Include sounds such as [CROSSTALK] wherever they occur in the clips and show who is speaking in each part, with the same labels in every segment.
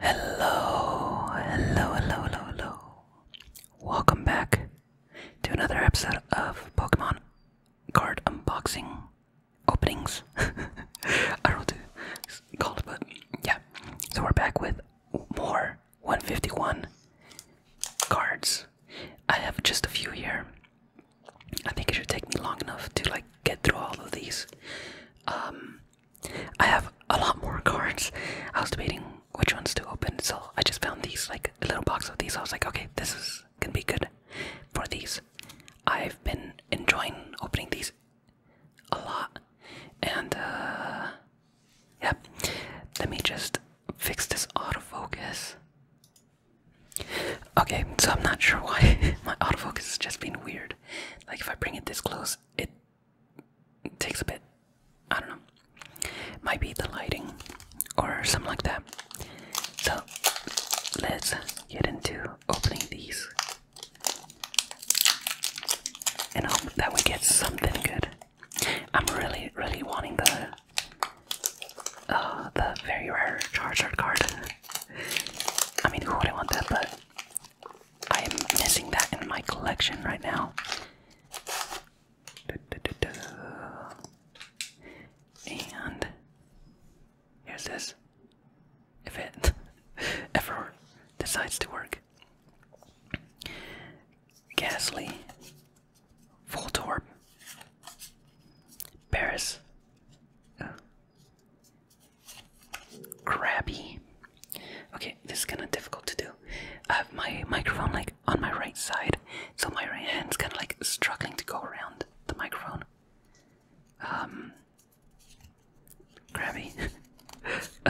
Speaker 1: Hello, hello, hello, hello, Welcome back to another episode of Pokemon card unboxing openings. [LAUGHS] I don't called, but yeah. So we're back with more 151 cards. I have just a few here. I think it should take me long enough to like get through all of these. Um, I have a lot more cards. I was debating which ones to open, so I just found these like a little box of these. I was like, okay, this is gonna be good for these. I've been enjoying opening these a lot, and uh, yeah. Let me just fix this autofocus. Okay, so I'm not sure why [LAUGHS] my autofocus is just being weird. Like if I bring it this close, it takes a bit. I don't know. Might be the lighting or something like that. So let's get into opening these. And hope that we get something good. I'm really, really wanting the uh, the very rare Charizard card. I mean, who wouldn't want that? But I am missing that in my collection right now. And here's this. If it [LAUGHS] ever decides to work, Ghastly, Voltorb, Paris. crabby. Okay, this is kind of difficult to do. I have my microphone like on my right side, so my right hand's kind of like struggling to go around the microphone. Um, crabby. [LAUGHS]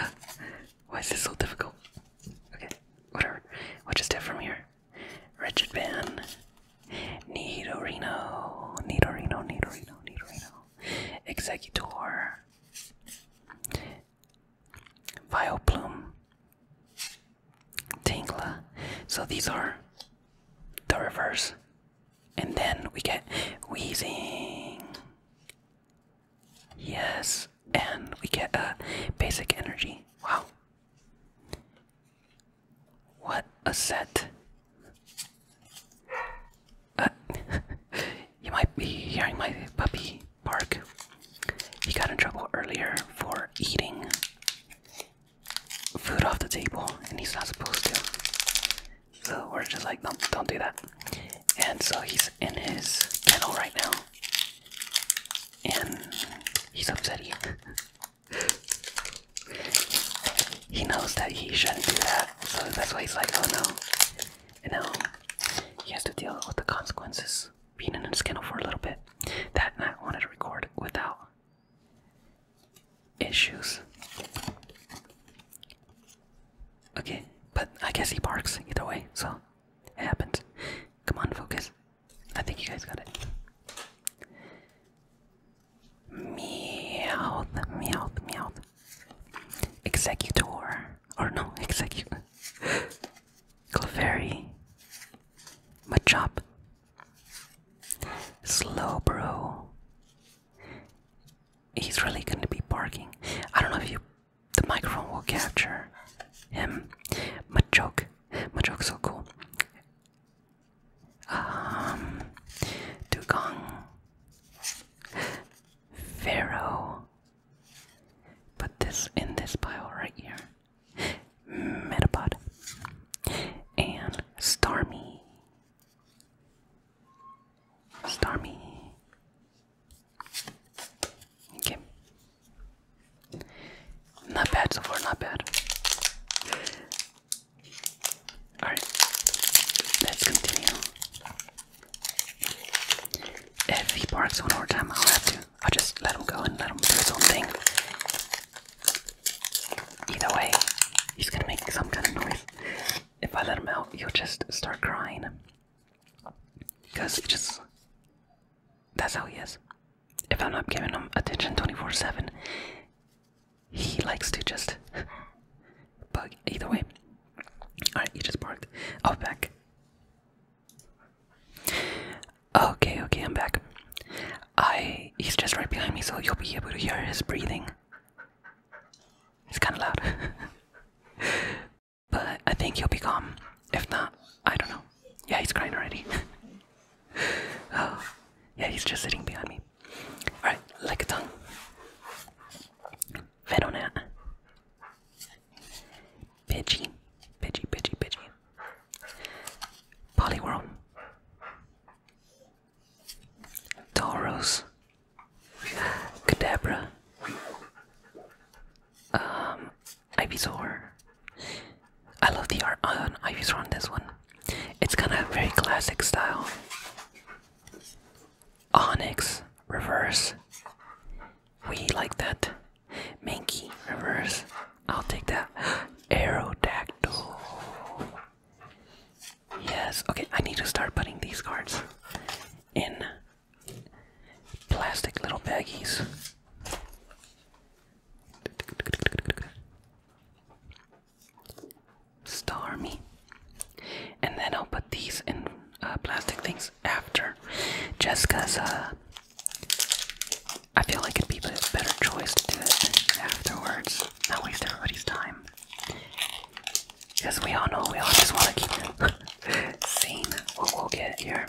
Speaker 1: why is this so difficult? Okay, whatever. We'll just do it from here. Richard Van Nidorino, Nidorino, Nidorino, Nidorino, Executor, Vileplume, Tingla. So these are the reverse. And then we get Wheezing. Yes, and we get a basic energy. Wow. What a set. Uh, [LAUGHS] you might be hearing my puppy bark. He got in trouble earlier for eating food off the table, and he's not supposed to. So we're just like, no, don't do that. And so he's in his kennel right now, and he's upset. [LAUGHS] he knows that he shouldn't do that, so that's why he's like, oh no. no!" Um, he has to deal with the consequences. Being in a scandal for a little bit. That night I wanted to record without issues. Okay, but I guess he barks either way, so it happened. Come on, focus. I think you guys got it. Meowth, meowth, meowth. Executor, or no, executor. [LAUGHS] Clefairy. Machop. Slowbro. He's really gonna be barking. I don't know if you, the microphone will capture him. Machoke. Machoke's so cool um, dugong, pharaoh. Put this in this pile right here. Metapod and Stormy. Stormy. Okay. Not bad so far, not bad. Alright, let's continue. If he barks one more time, I'll have to. I'll just let him go and let him do his own thing. Either way, he's gonna make some kind of noise. If I let him out, he'll just start crying. Because just. That's how he is. If I'm not giving him attention 24 7, he likes to just bug. Either way. Alright, you just barked. I'll back. Okay, okay, I'm back. I he's just right behind me, so you'll be able to hear his breathing. It's kinda loud. [LAUGHS] but I think he'll be calm. If not, I don't know. Yeah, he's crying already. [LAUGHS] oh, yeah, he's just sitting behind me. Alright, like a tongue. Verona. Pidgey. Pidgey, Pidgey, Pidgey. Poliwhirl. Tauros. Kadabra. Um, Ivysaur. I love the art on Ivysaur on this one. It's kind of very classic style. Onyx, reverse. We like that. Mankey, reverse. I'll take that. [GASPS] Aerodactyl. Yes, okay, I need to start putting these cards in plastic little baggies. Stormy, And then I'll put these in uh, plastic things after. Just because uh, I feel like it'd be a better choice to do it afterwards. Not waste everybody's time. Because we all know we all just want to see What we'll get here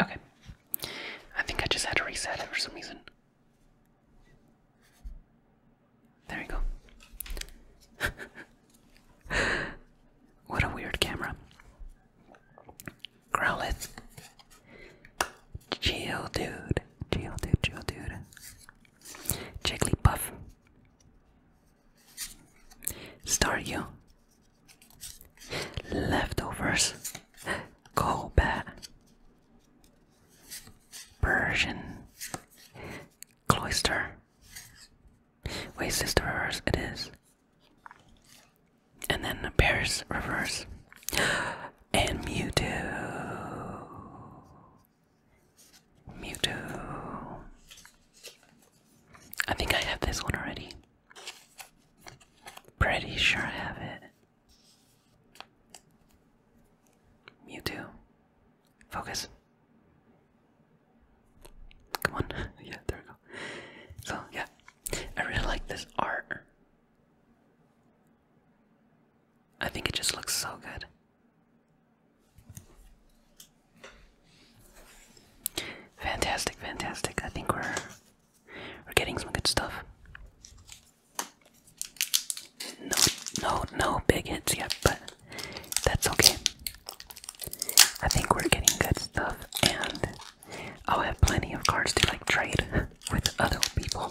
Speaker 1: Okay. I think I just had to reset it for some reason. There you go. [LAUGHS] what a weird camera. Growlithe. Chill dude. Chill dude, chill dude. Jigglypuff. Start you. Leftovers. Koba. Persian. Cloister. Wait, sister reverse it is. And then the Paris reverse. And Mewtwo. Mewtwo. I think I have this one already. Pretty sure I have it. You too. Focus. Come on. [LAUGHS] yeah, there we go. So, yeah. I really like this art. I think it just looks so good. Fantastic, fantastic. I think we're we're getting some good stuff. No, no, no big hits yet, but that's okay. I think we're getting good stuff, and I'll have plenty of cards to like trade [LAUGHS] with other people.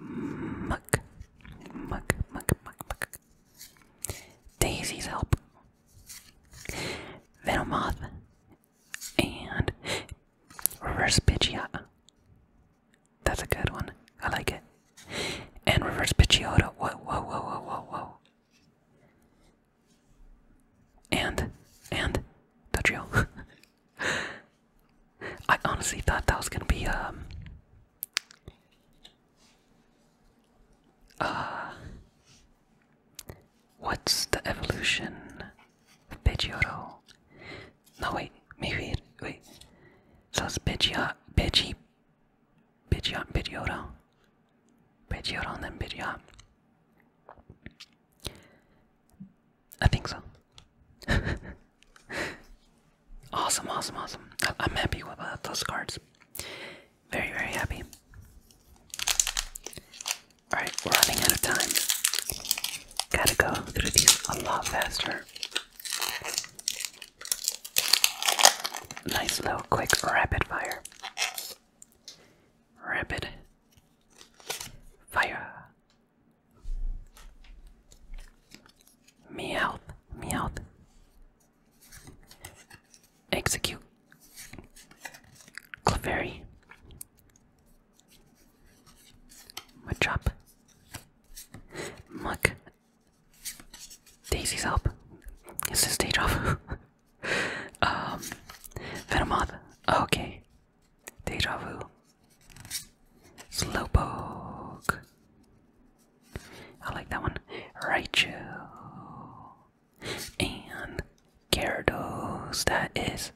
Speaker 1: Muck, muck, muck, muck, muck. Daisy's help. Venomoth and Reverse Pidgeot. That's a good one. I like it. And Reverse Pidgeotto. Whoa, whoa, whoa, whoa, whoa, whoa. And, and, Dodrio. [LAUGHS] I honestly thought that was gonna be um uh what's the evolution of Pidgeotto? No wait, maybe wait. So it's Pidgeot Pidgey Pidgeot Pidgeotto. Pidgeotto and then I think so. [LAUGHS] awesome, awesome, awesome. I am happy with uh, those cards. Very, very happy. Alright, we're running out of time. Gotta go through these a lot faster. Nice little quick rapid fire. Rapid fire. Meowth, meowth. Execute. Clefairy. Machop. Muck. Daisy's help. It's a stage off. [LAUGHS] um, Venomoth. Okay. Deja vu. Slowpoke. I like that one. Raichu. And Gyarados. That is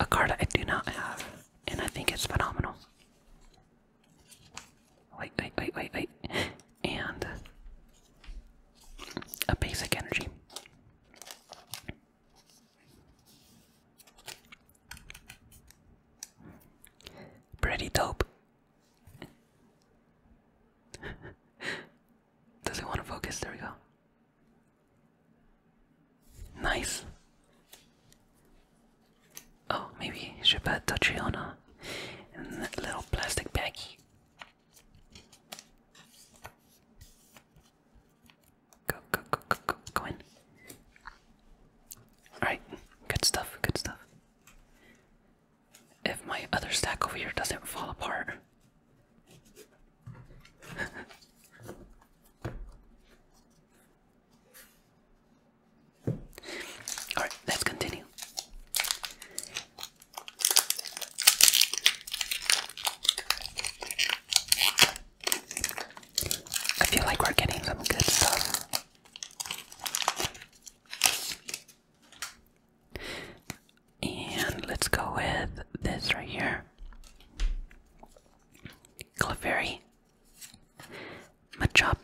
Speaker 1: a card I do not have. And I think it's phenomenal. Wait, wait, wait, wait, wait. And a basic energy. Pretty dope. [LAUGHS] Does it want to focus? There we go. Nice. Oh, maybe should put Totriona in that little plastic baggie. Go, go, go, go, go, go in. Alright, good stuff, good stuff. If my other stack over here doesn't fall apart. [LAUGHS] Alright, let's continue. I feel like we're getting some good stuff. And let's go with this right here. Clefairy. Machop.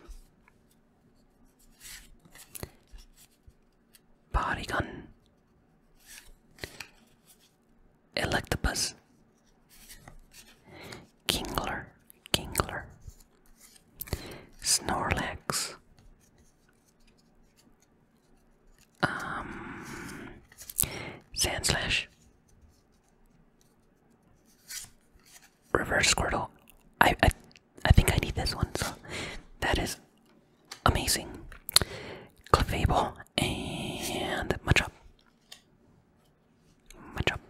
Speaker 1: Bodygun. Electabuzz, Kingler, Kingler, Snorlax, um, Sandslash, Reverse Squirtle. I, I, I think I need this one, so that is amazing. Clefable and Machop. Much up.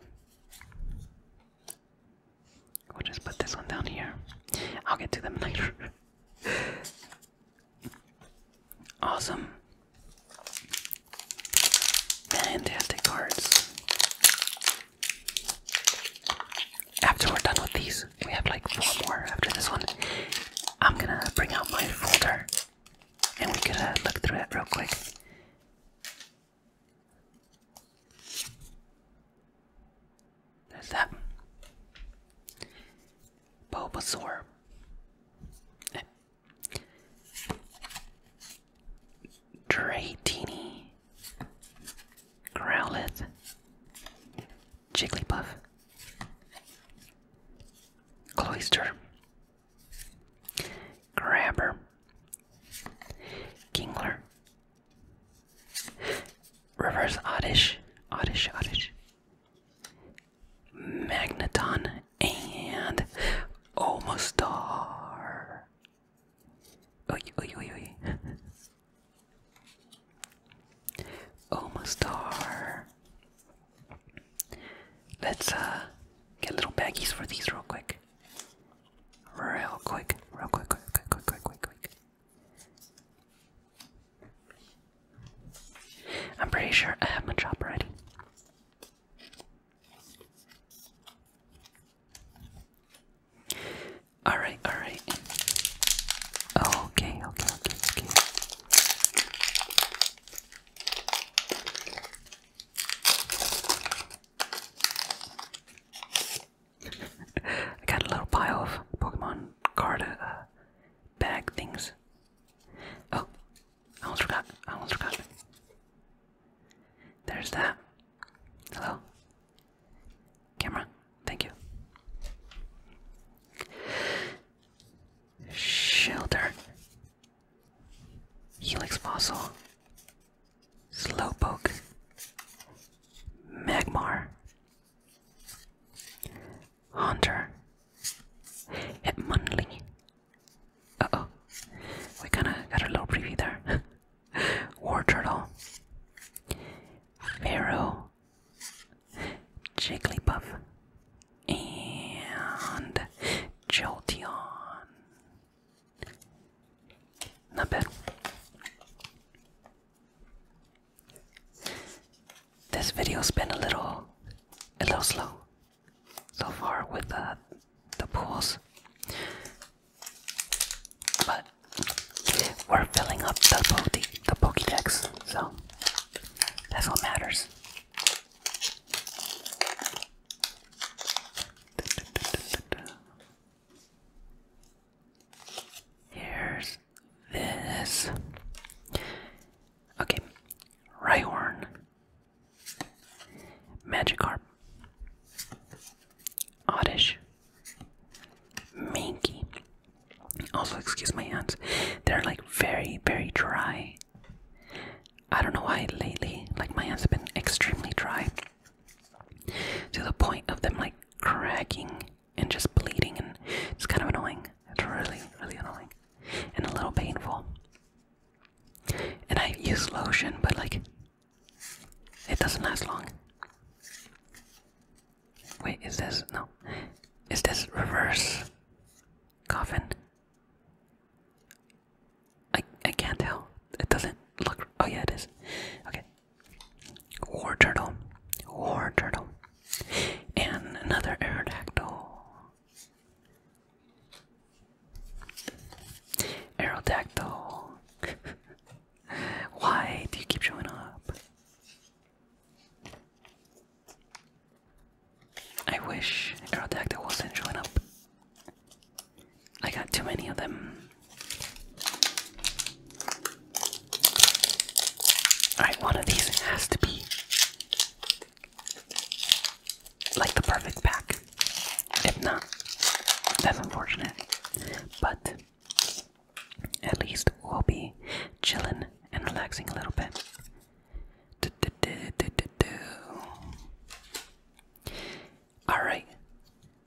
Speaker 1: We'll just put this one down here. I'll get to them later. [LAUGHS] awesome. Fantastic cards. After we're done with these, we have like four more after this one. I'm gonna bring out my folder and we could uh, look through it real quick. There's that. Bulbasaur. Eh. Dratini. Growlithe. Jigglypuff. Cloyster. Grabber, Kingler, Reverse Oddish, Oddish, Oddish, Magneton, and Oh, Oy, oy, oh, oy. Omostar, Let's uh, get little baggies for these real quick. Real quick, real quick, quick, quick, quick, quick, quick, quick. I'm pretty sure I have my chop ready. Alright, alright. Okay, okay, okay, okay. I got a little pile of Pokemon card uh, bag things. Oh, I almost forgot. I almost forgot. There's that. Hello. Camera, thank you. Shelter. Helix Fossil, Slowpoke, Magmar, Haunter, Hitmonlee. Uh oh, we kinda got a little preview there. [LAUGHS] War Turtle, Pharaoh, Jigglypuff, and Jolteon. Not bad. This video's been a little, a little slow so far with uh, the pools, but we're filling up the, po the Pokédex, so that's what matters. Here's this. Okay, Rhyhorn, Magikarp, Oddish, Minky. Also, excuse my hands, they're like very, very dry. I don't know why lately, like my hands have been extremely dry to the point of them like cracking and just bleeding, and it's kind of annoying. It's really, really annoying and a little painful. And I use lotion, but like it doesn't last long. Wait, is this no? Is this reverse coffin? I I can't tell. It doesn't look. Oh yeah, it is. Okay. War turtle, war turtle, and another aerodactyl. Aerodactyl. [LAUGHS] Why do you keep showing up? I wish Girl Aerodactyl wasn't showing up. I got too many of them. Alright, one of these has to be like the perfect pack. If not, that's unfortunate. But at least we'll be chilling and relaxing a little bit. Alright,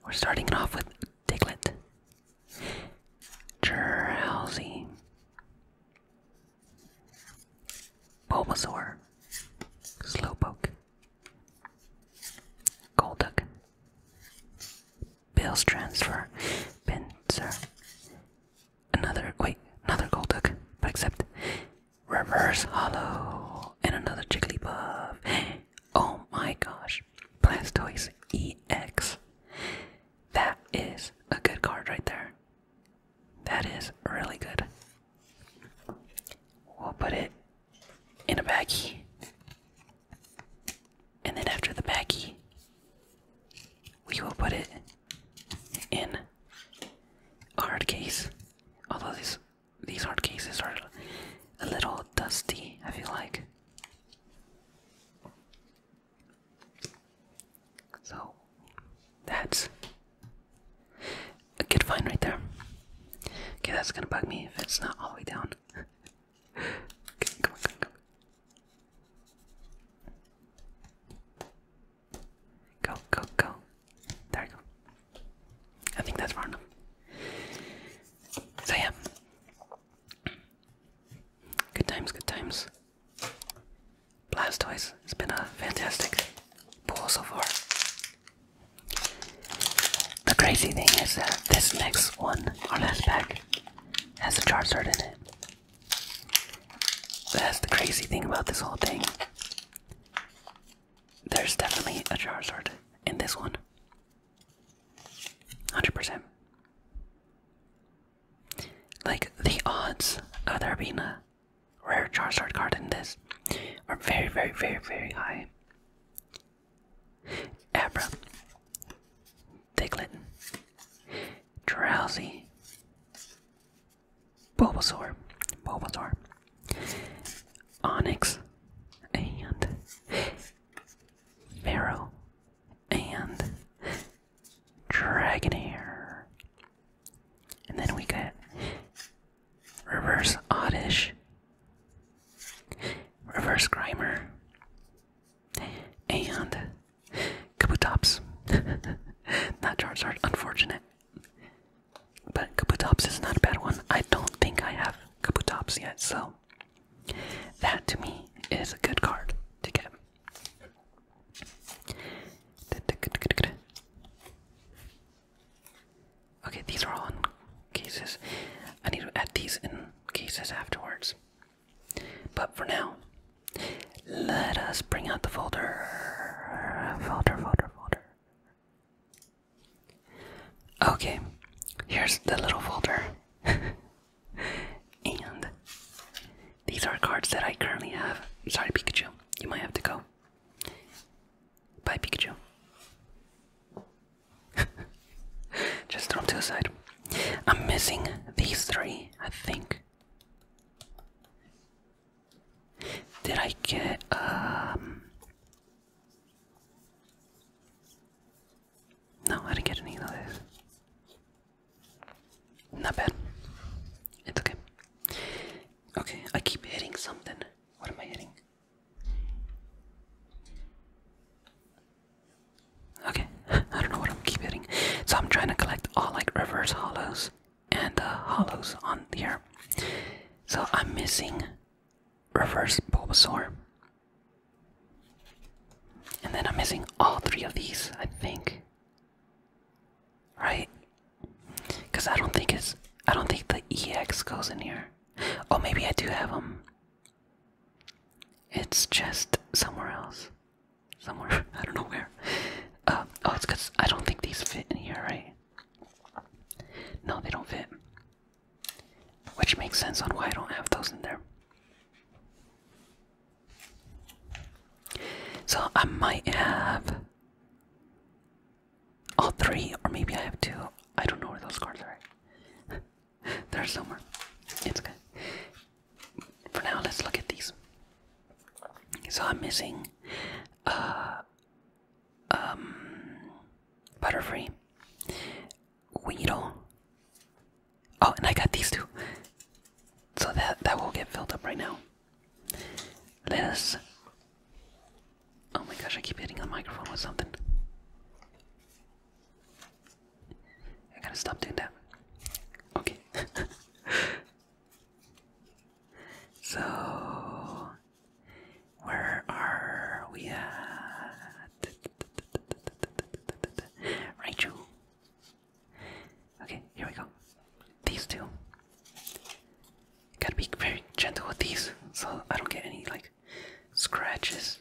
Speaker 1: we're starting off with Diglett. Drowsy. Bulbasaur. Slowpoke. Golduck. Bills transfer. Pincer another wait, another Golduck, but except reverse hollow and another Jigglypuff. [GASPS] Oh my gosh, Blastoise EX. That is a good card right there. That is really good. We'll put it in a baggie. And then after the baggie, we will put it in a hard case. Although these these hard cases are a little dusty, I feel like. So that's a good find right there. Okay, that's gonna bug me if it's not all the way down. [LAUGHS] come on, come on, come on. Go, go, go. There you go. I think that's random. So yeah. Good times, good times. Blastoise, it's been a fantastic pull so far. The crazy thing is that this next one, our last pack, has a Charizard in it. That's the crazy thing about this whole thing. There's definitely a Charizard in this one. 100%. Like, the odds of there being a rare Charizard card in this are very, very, very, very high. Abra. Diglett. Drowsy. Bulbasaur, Bulbasaur, Onyx, and Pharaoh, and Dragonair. And then we got Reverse Oddish, Reverse Grimer, and Kabutops. not [LAUGHS] are unfortunate. But Kabutops is not a bad one. I don't think I have Kabutops yet, so that to me is a good card to get. Okay, these are all in cases. I need to add these in cases afterwards. But for now, let us bring out the folder. Folder, folder, folder. Okay, here's the little folder. [LAUGHS] and these are cards that I currently have. Sorry, Pikachu. You might have to go. Bye, Pikachu. [LAUGHS] Just throw to the side. I'm missing these three, I think. Did I get um No, I didn't get any of those. Not bad. It's okay. Okay, I keep hitting something. What am I hitting? Okay, [LAUGHS] I don't know what I'm keep hitting. So I'm trying to collect all like reverse hollows and the uh, hollows on there. So I'm missing reverse Bulbasaur. And then I'm missing all three of these, I think. Right? Cause I don't think it's I don't think the EX goes in here. Oh maybe I do have them. It's just somewhere else somewhere. [LAUGHS] I don't know where. Uh, oh, it's because I don't think these fit in here, right? No, they don't fit. Which makes sense on why I don't have those in there. So I might have all three, or maybe I have two. I don't know where those cards are. [LAUGHS] They're somewhere. It's okay for now, let's look at these. So I'm missing uh, um, Butterfree, Weedle. Oh, and I got these two. So that that will get filled up right now. This. Oh my gosh! I keep hitting the microphone with something. I gotta stop doing that. Okay. [LAUGHS] So, where are we at? Rachel? Okay, here we go. These two. Gotta be very gentle with these so I don't get any like scratches.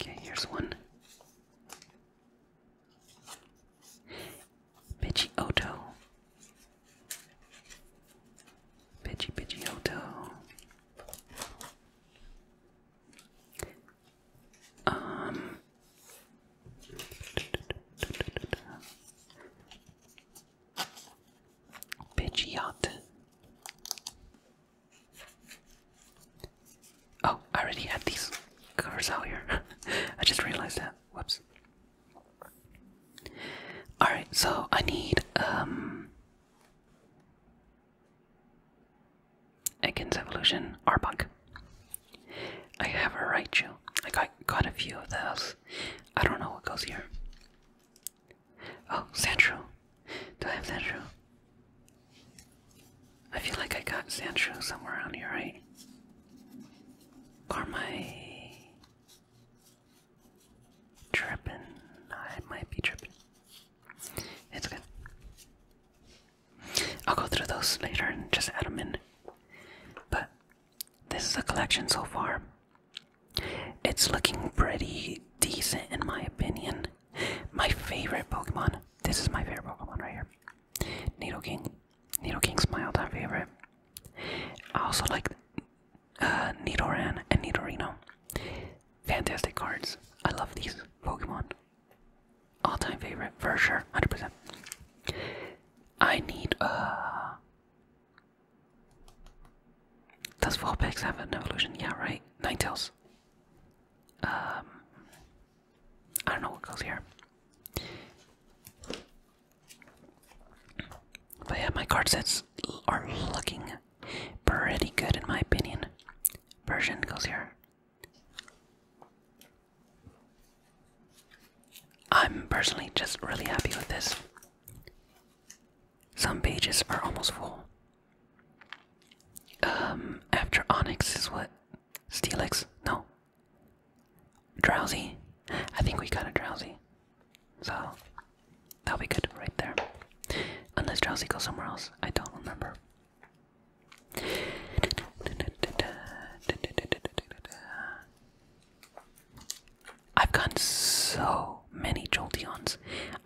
Speaker 1: Okay, here's one. Bitchy Oto. Pidgey Pidgey Oto. Um Pidgeot. Oh, I already had these covers out here. [LAUGHS] I just realized that. Whoops. Alright, so I need um Against Evolution Arbok. I have a Raichu. I got got a few of those. I don't know what goes here. Oh, Sandshrew. Do I have Sandshrew? I feel like I got Sancho somewhere on here, right? Carmi tripping. I might be tripping. It's good. I'll go through those later and just add them in. But this is a collection so far. It's looking pretty decent in my opinion. My favorite Pokemon. This is my favorite Pokemon right here. Needle King. Needle King, all-time favorite. I also like uh, Nidoran and Nidorino. Fantastic cards. I love these Pokemon. All-time favorite for sure, hundred percent. I need uh. Does Vulpix have an evolution? Yeah, right. Ninetales. Um, I don't know what goes here. But yeah, my card sets are looking pretty good in my opinion. Persian goes here. I'm personally just really happy with this. Some pages are almost full, um, after Onyx is what? Steelix? No. Drowsy? I think we got a Drowsy. So, that'll be good right there. Unless Drowsy goes somewhere else. I don't remember. I've gotten so many Joltions.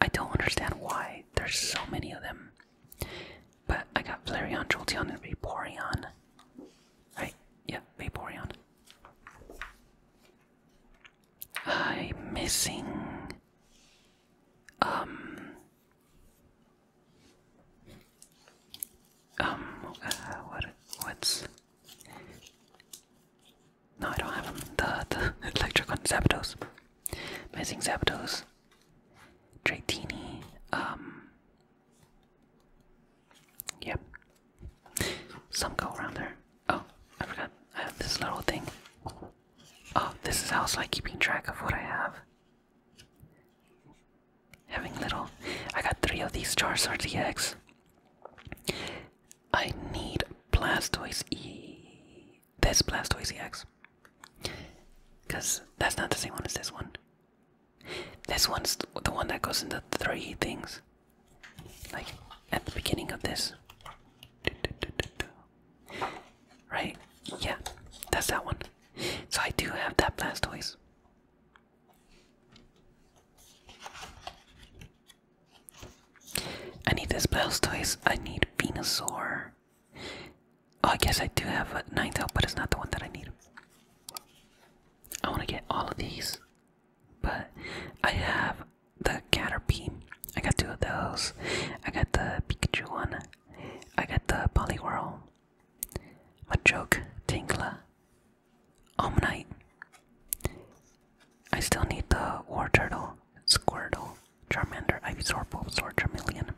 Speaker 1: I don't understand why there's so many of them. But I got Flareon, Jolteon, and Vaporeon. Right? Yeah, Vaporeon. I'm missing. Um. Um. Uh, what? What's? No, I don't have them. The the [LAUGHS] electric on Zapdos. Missing Zapdos. Dratini, um, Yep. Some go around there. Oh, I forgot. I have this little thing. Oh, this is how it's like keeping track of what I have. Having little I got three of these jars eggs. I need Plastoids E this Blastoise X, Because that's not the same one as this one. This one's the one that goes into three things. Like at the beginning of this. Right? Yeah, that's that one. So I do have that Blastoise. I need this Blastoise. I need Venusaur. Oh, I guess I do have a ninth out, but it's not the one that I need. I want to get all of these, but I have the Caterpie. I got two of those. I got the Pikachu one. I got the Poliwhirl. Machoke, Tinkla, Omnite. I still need the War Turtle, Squirtle, Charmander, Ivysaur, Bulbasaur, Charmeleon.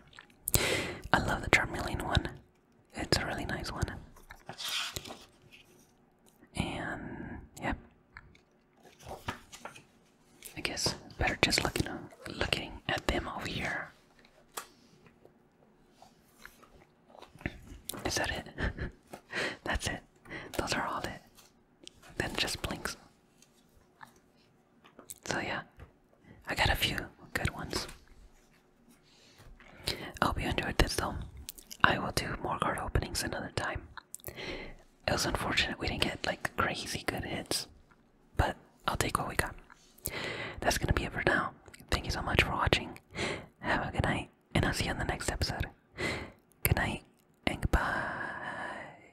Speaker 1: I love the Charmeleon one. It's a really nice one. And yep, I guess better just looking looking at them over here. Is that it? [LAUGHS] That's it. Those are all it. Then just blinks. So yeah, I got a few good ones. I hope you enjoyed this though. I will do more card openings another time. It was unfortunate we didn't get like crazy good hits, but I'll take what we got. That's gonna be it for now. Thank you so much for watching. Have a good night, and I'll see you on the next episode. Good night, and goodbye.